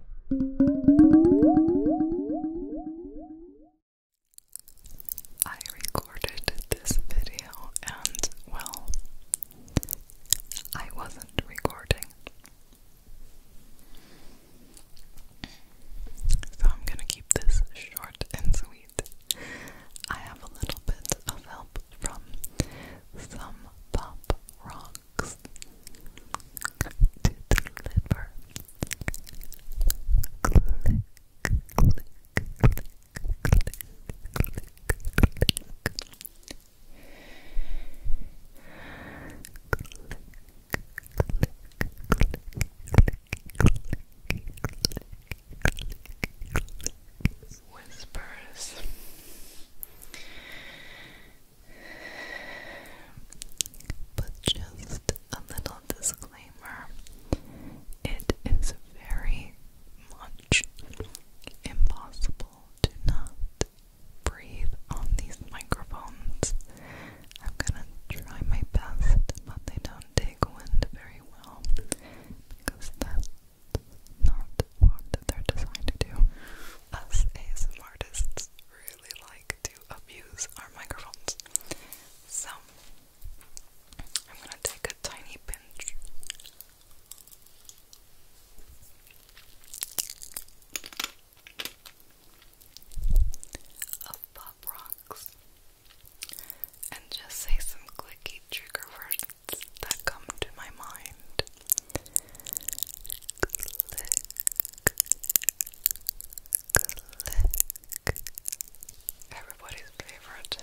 I recorded this video and, well, I wasn't recording. So I'm gonna keep this short and sweet. I have a little bit of help from some pop rock clicks to the liver. Click, click, click, click, click, click. Whispers but just a little disclaimer it is very much impossible to not breathe on these microphones. I'm gonna try my best, but they don't take wind very well because that's not what they're designed to do. Us ASMR artists like to abuse our microphones. So, I'm gonna take a tiny pinch. Of pop rocks and just say some clicky trigger words that come to my mind click. Everybody's favorite.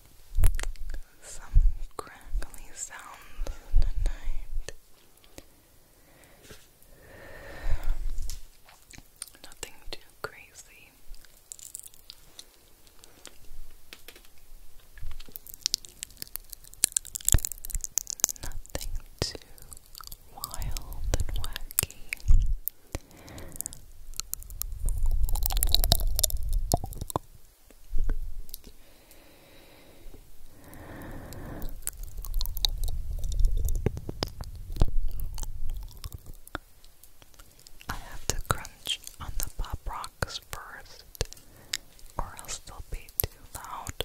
some crackly sounds tonight. Nothing too crazy. Nothing too wild and wacky. I have to crunch on the pop rocks first, or else they'll be too loud.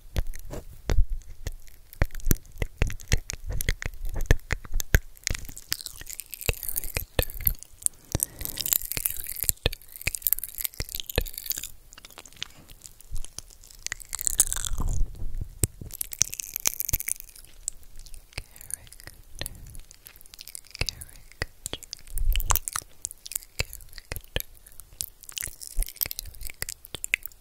Character. Character.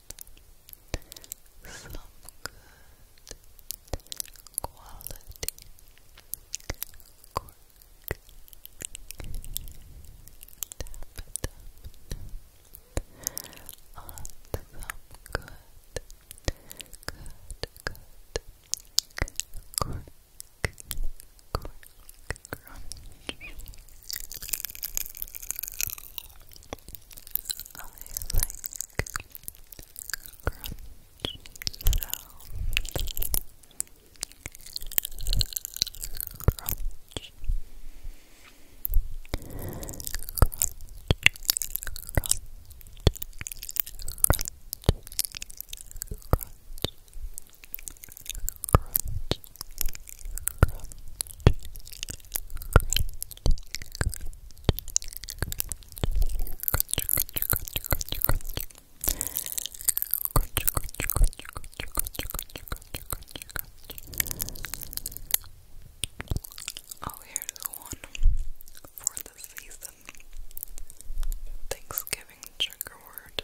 some good quality cork. Tap, tap, tap. On some good, good, good cork. I like crunchy sounds. Crunch. Crunch. Crunch. Crunch. Crunch. Crunch. Oh, here's one for the season. Thanksgiving trigger word.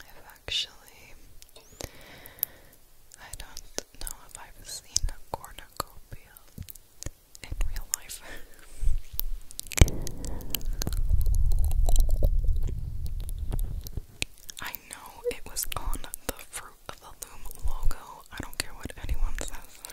I've actually, I don't know if I've seen a cornucopia in real life. I know it was on the Fruit of the Loom logo. I don't care what anyone says.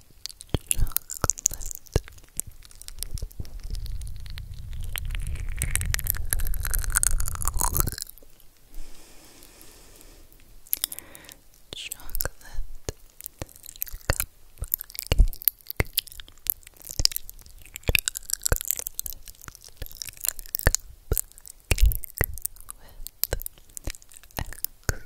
Chocolate. Chocolate cupcake. with extra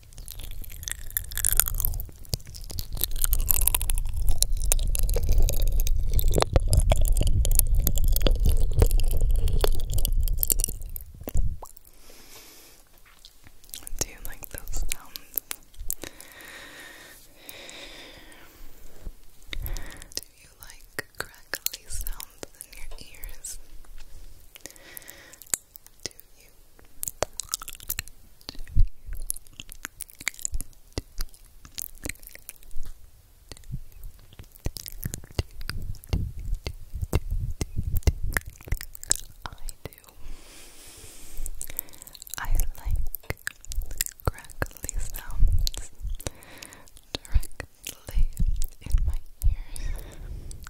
Do you like those sounds? Do you like crackly sounds in your ears? Do you? I do. I like crackly sounds directly in my ears.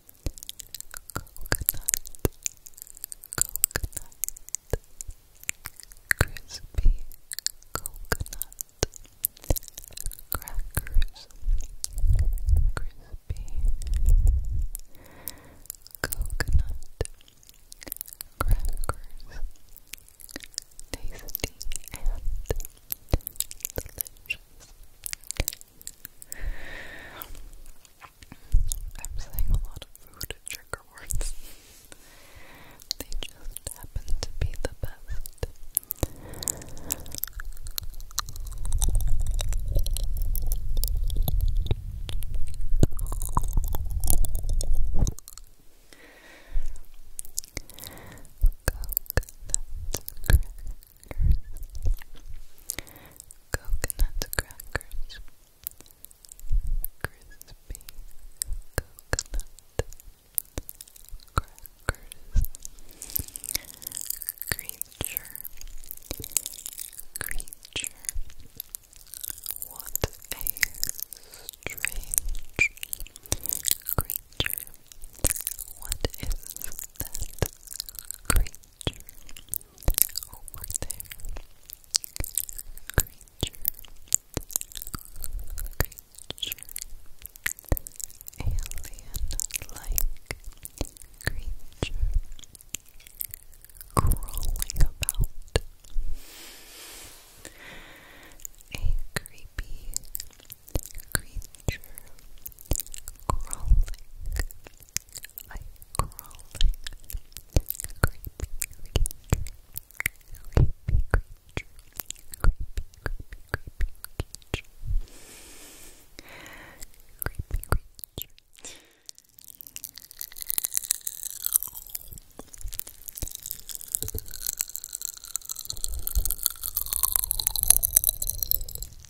coconut, coconut, crispy coconut crackers, crispy coconut crackers, tasty and delicious. I'm saying a lot of food trigger words. they just happen to be the best coconut crackers, crispy coconut crackers, creature, creature, what a strange creature. What is that over there. Creature, creature, alien-like creature crawling about. A creepy creature crawling I crawling, creepy creature, creepy creature, creepy, creepy, creepy creature, creepy creature.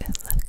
Electric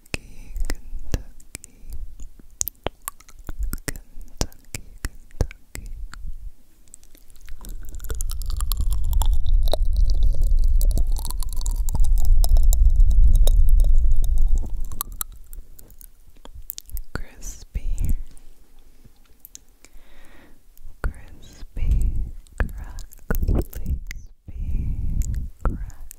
Kentucky, Kentucky, Kentucky, Kentucky. Crispy, crispy, crackly, crispy, crackly.